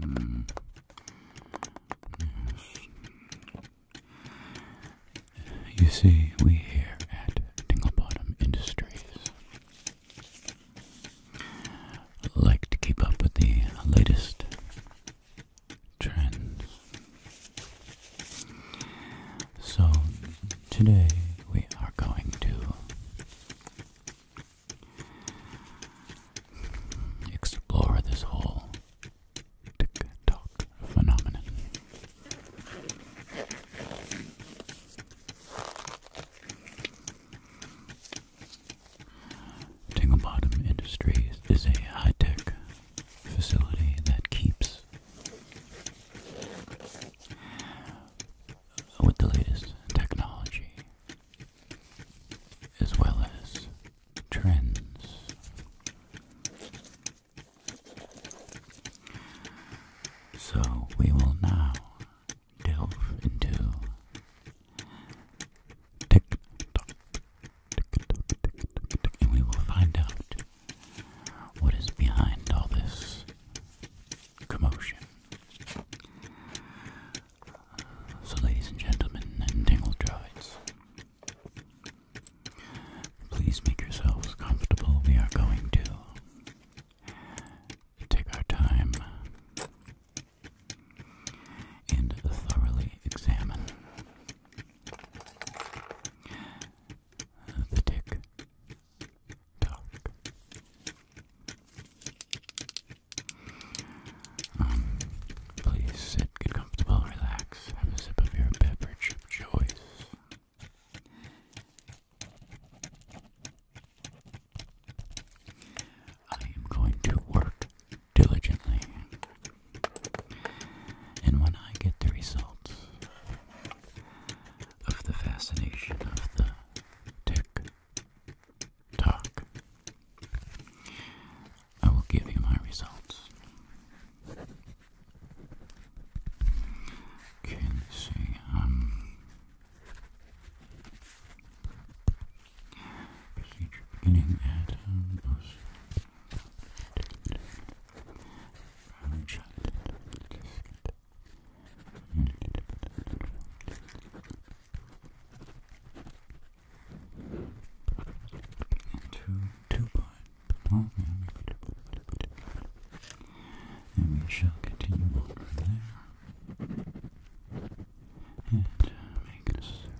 Hmm. You see, we here at Tingle Industries like to keep up with the latest trends so, today we are going to explore this whole TikTok phenomenon. Tingle Bottom Industries is a high tech facility that keeps with the latest technology as well as trends. So we will now delve into TikTok, and we will find out what is behind all this commotion? So, ladies and gentlemen, and tingle droids, please make yourselves comfortable. We are going to take our time and thoroughly examine the tick tock. Um, please sit, get comfortable, relax, have a sip of your beverage of choice. I am going to work diligently, and when I get the results, of the fascination of the tick tock. I will give you my results. Okay, let's see. Um, procedure beginning at um, brown chocolate two, two pine And we shall continue on there. And make necessary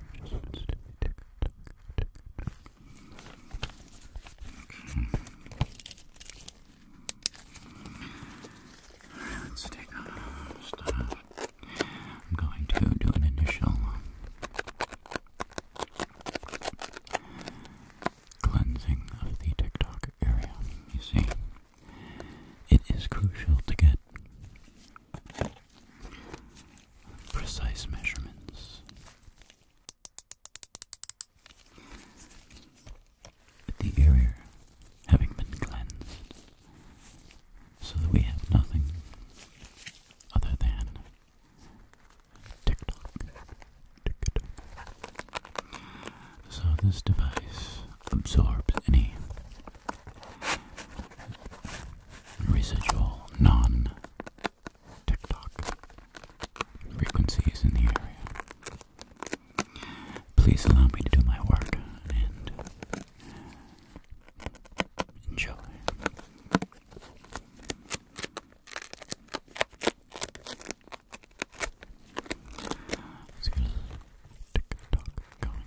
Alright, let's take off I'm going to do an initial cleansing of the TikTok area. You see, it is crucial to get precise measurements the area having been cleansed, so that we have nothing other than tick tock, tick tock. So this device absorbs any residual non TikTok frequencies in the area. Please allow me to do my work and enjoy. TikTok going, shall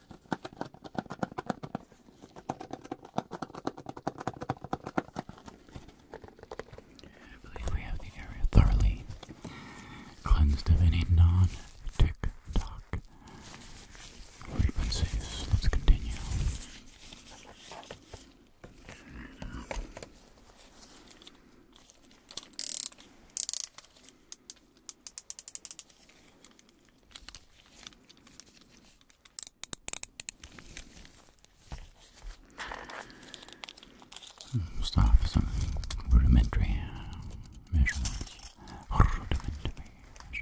I believe we have the area thoroughly cleansed of any non tick tock frequencies. Let's continue. Start with some rudimentary measurements. Rudimentary measurements. Okay, so good. Okay.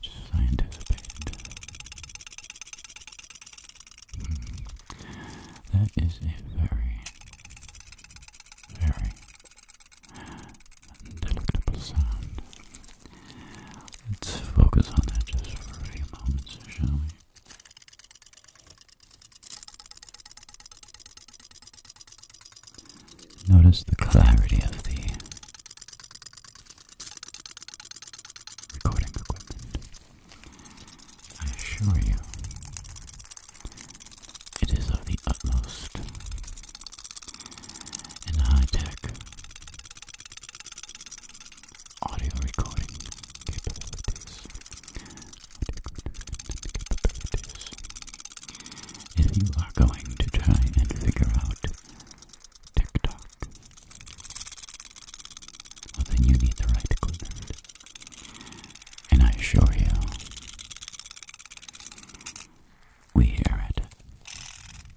Just as I. anticipated. Mm-hmm. That is a very, very delectable sound. Let's focus on that just for a few moments, shall we? Notice the clarity of the recording equipment. I assure you, it is of the utmost in high tech audio recording capabilities. If you are going to try and figure out TikTok, well then you need the right equipment. And I assure you, we here at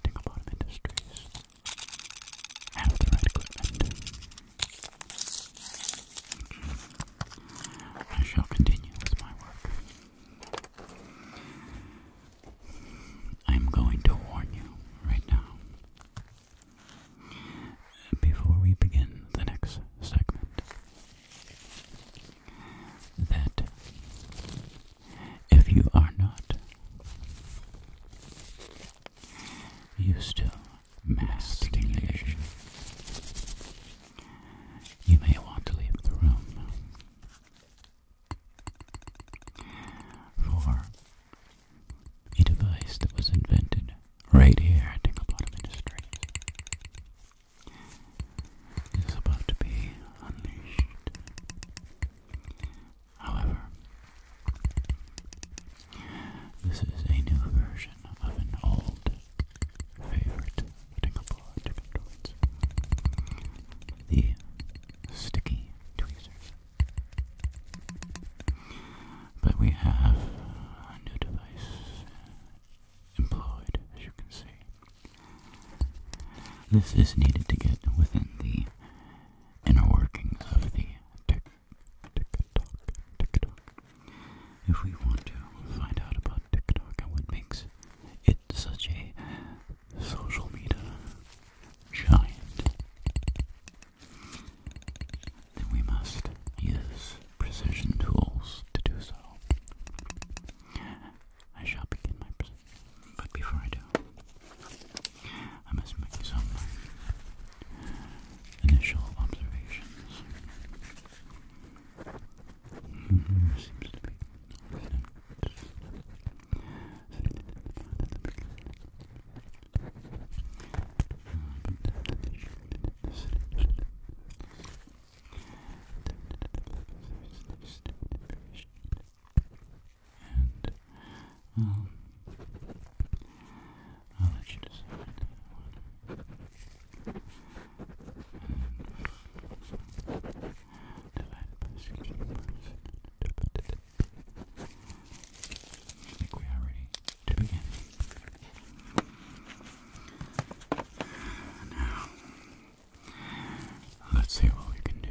Tinglebottom Industries and with equipment, I shall continue with my work. I'm going to warn you right now. Before we begin the next segment, that if you are not used to mass stimulation. You may want to leave the room for a device that was invented right here at Tinklebottom Industries. Is about to be unleashed However, this is a new version of an old favorite The sticky tweezers. But we have a new device employed, as you can see. This is needed to get within the inner workings of the tick, If we want to find out about TikTok and what makes it such a social media giant, then we must use precision tools to do so. I shall begin my presentation. But before I do, I must make some initial observations. Mm Seems to be and I'll let you decide I think we are ready to begin. Now, let's see what we can do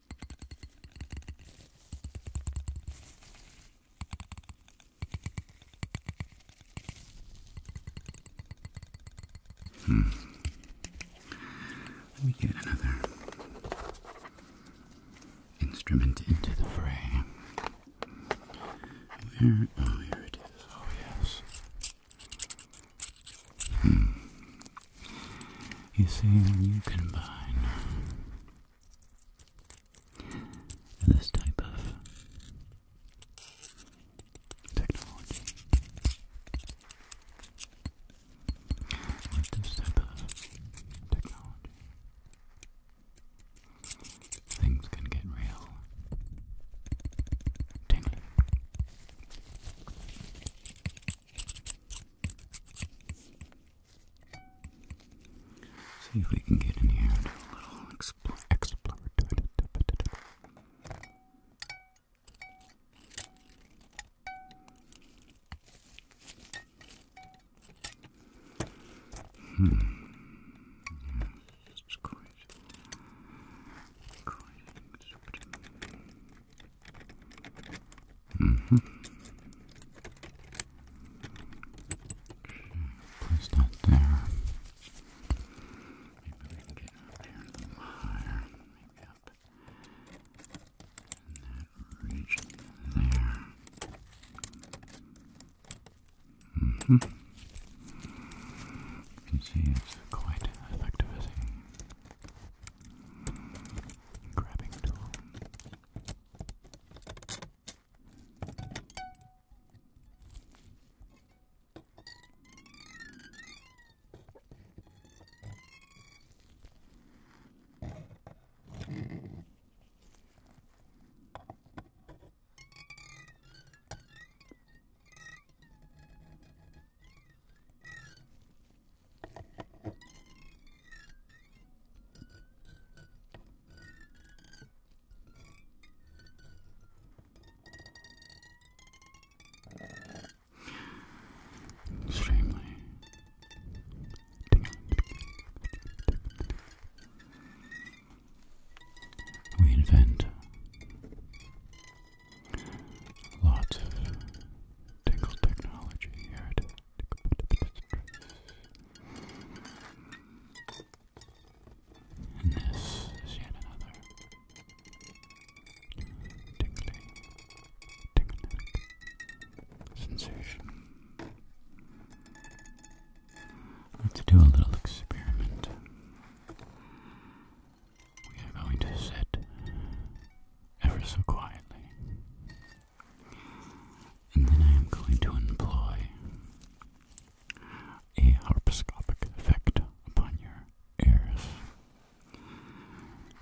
Hmm. Let me get another instrument into the fray. Oh, here it is. Oh, yes. Hmm. You see, when you combine this type of technology with this type of technology, things can get real See if we can get in here and do a little explore, explore. Hmm. Yeah, it's quite, Mm-hmm. Place that there. Maybe we can get up here a little higher. Maybe up in that region there. Mm-hmm. You can see it's quite effective, Grabbing tool. Extremely we invent Lots of tingle technology here And this is yet another tingling, tingling sensation. Let's do a little experiment we are going to sit ever so quietly. And then I am going to employ a harpscopic effect upon your ears.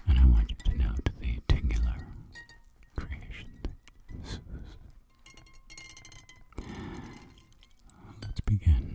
And I want you to note the tingular creation that Let's begin.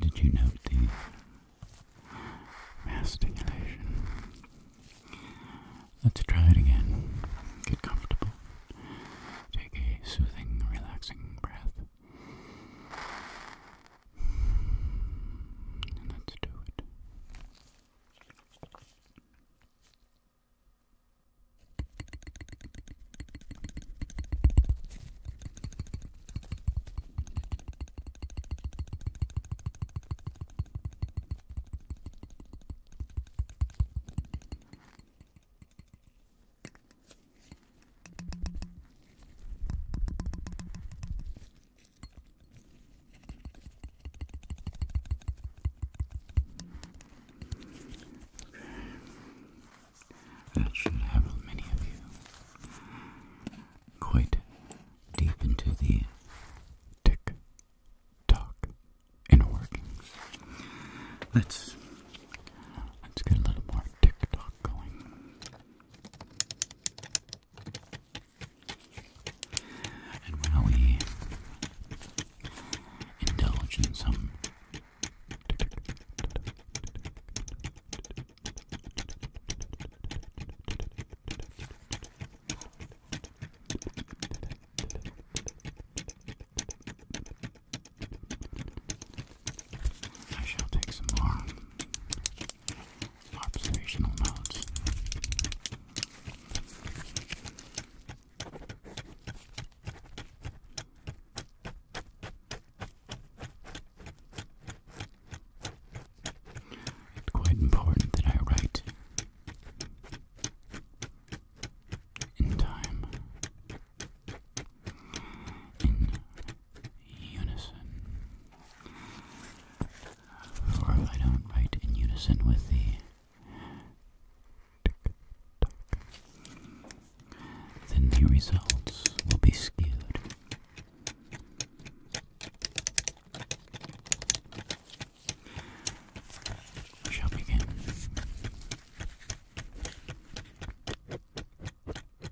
Did you note the mastication? Let's try it again. Get comfortable. Take a soothing, relaxing breath. And let's do it. That should have many of you quite deep into the tick tock Let's let's get a little more tick tock going. And when we indulge in some I shall take some more observational notes. It's quite important that I write in time, in unison. Or if I don't write in unison with the then the results will be skewed. shall begin.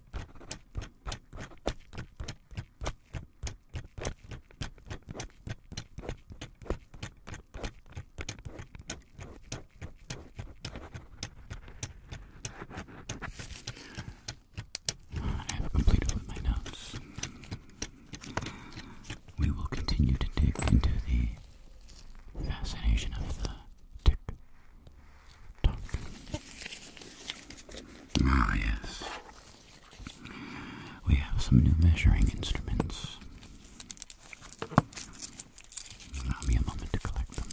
I have completed my notes. We will continue to dig into the fascination of the tick Ah, yes. We have some new measuring instruments. Allow me a moment to collect them.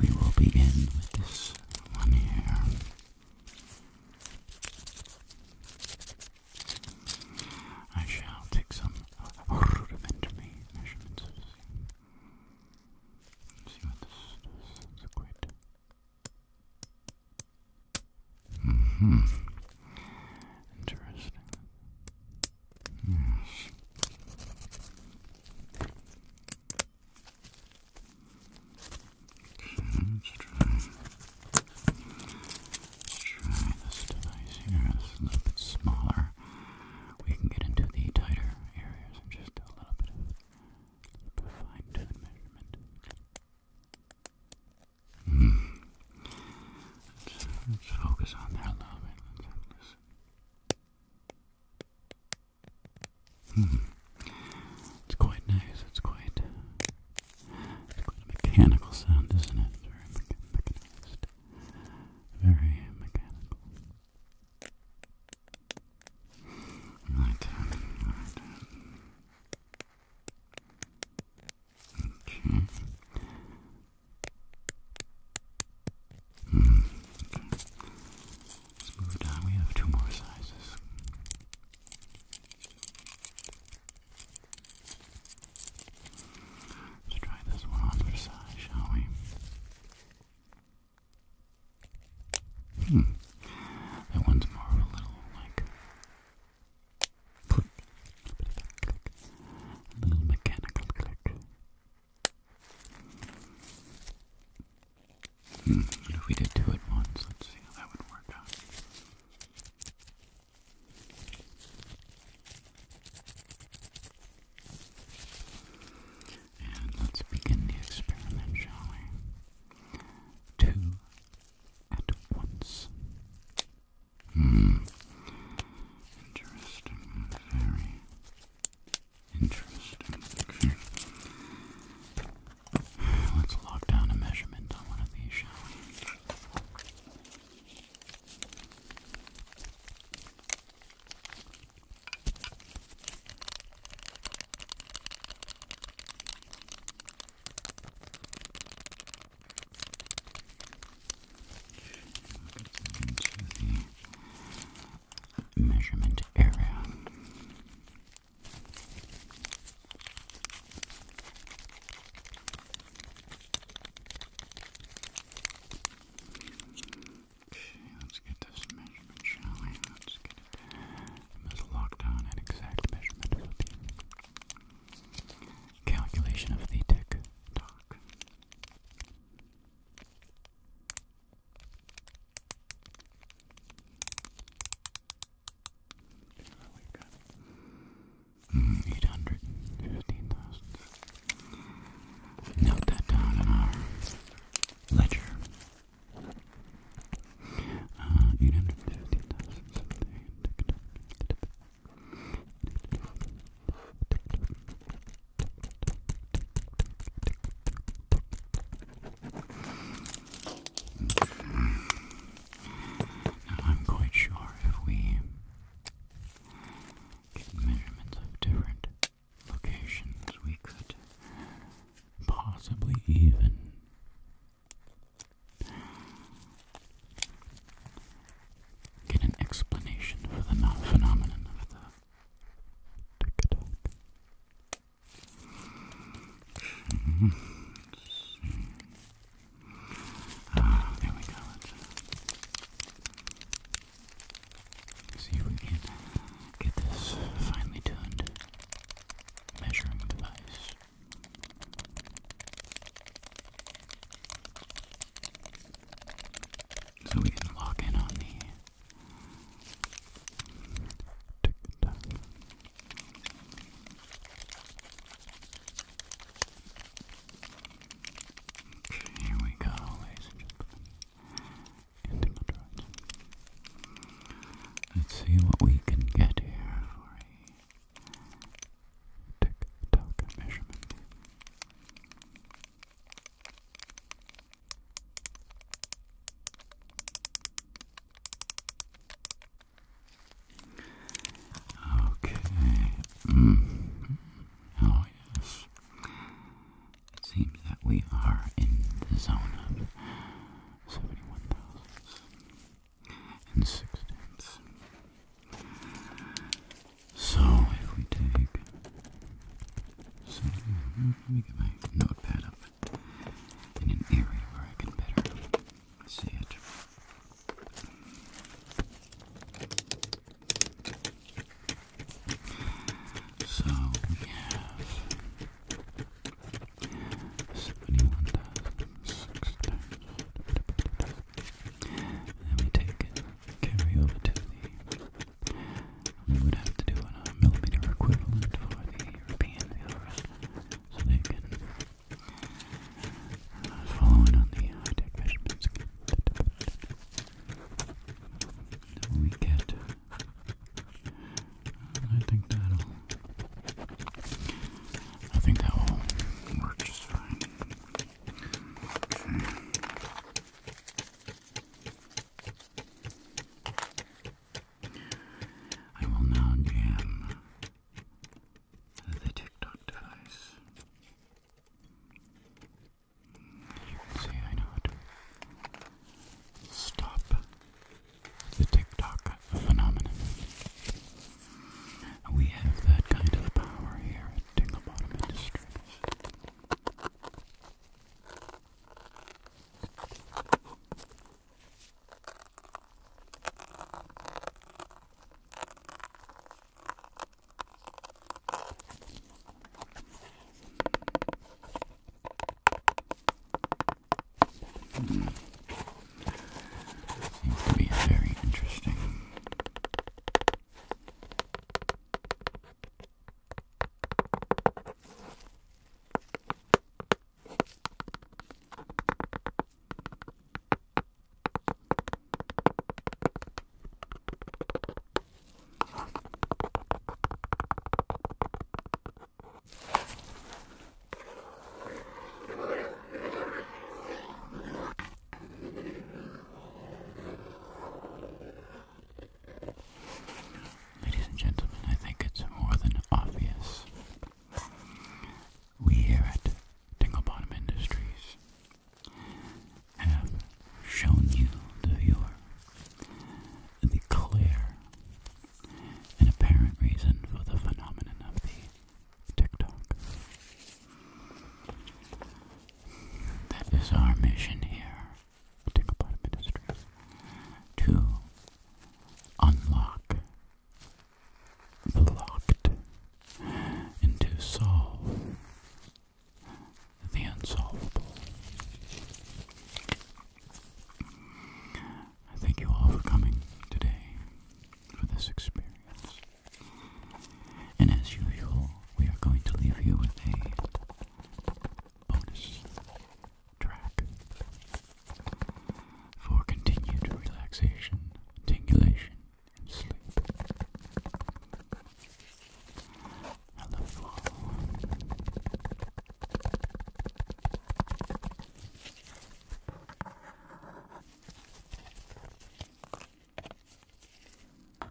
We will begin with this one here. I shall take some rudimentary measurements of See what this does. hmm Interesting. Yes let's try. Let's try this device here. It's a little bit smaller. We can get into the tighter areas and just a little bit of, of fine-tuned measurement. Mm. Let's, focus on that a little bit. It's quite nice. It's quite quite a mechanical sound, isn't it? very mechanized. Very mechanical. Right. right. Okay. Hmm. Okay. Let's move down. We have two more sizes. Let's try this one on for size, shall we? Hmm. That one's more of a little like click. A little mechanical click. Hmm. If we did two at once, let's see how that would work out let's begin the experiment, shall we? Two at once. Hmm. Interesting. Very interesting. Let's lock down a measurement on one of these, shall we? Into the measurement area. Okay, let's get this measurement, shall we? Let's get it. There's a lockdown and exact measurement calculation of the tick Talk. Really mm, good. Eight hundred fifteen thousand. Note that down in our ledger. Uh, eight hundred fifteen thousand I'm quite sure if we get measurements of different locations, we could possibly even get an explanation for the phenomenon of the tick-tock. Let's hmm. see. Ah, there we go. see if we can get this finely tuned measuring device. So we can lock in on the tick tock here we go, ladies Let's see what we can get here for a tick tock measurement. Okay. Hmm. Oh, yes. It seems that we are in the zone of 71,000 tenths. So, if we take. Hmm, let me get my notepad up in an area where I can better see it. So we have seventy one thousand six times. And we take carry over to the we would have to do a millimeter equivalent for the European so they can Following on the high tech measurements we get, I think that'll. I think that will work just fine. I will now jam the TikTok device. You can see I know how to stop the TikTok phenomenon. We have that kind of power here at Tingle Industries. Mm. Seems to be very interesting. Ladies and gentlemen, I think it's more than obvious we here at Tingle Bottom Industries have shown you, the viewer, the clear and apparent reason for the phenomenon of the TikTok. That is our mission here Tingle Bottom Industries to unlock locked into solve the unsolvable. I thank you all for coming today for this experience. And as usual, we are going to leave you with a bonus track for continued relaxation, tingulation, and sleep. I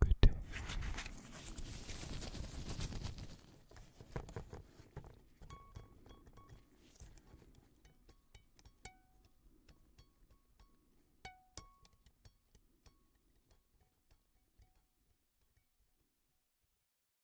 Good day.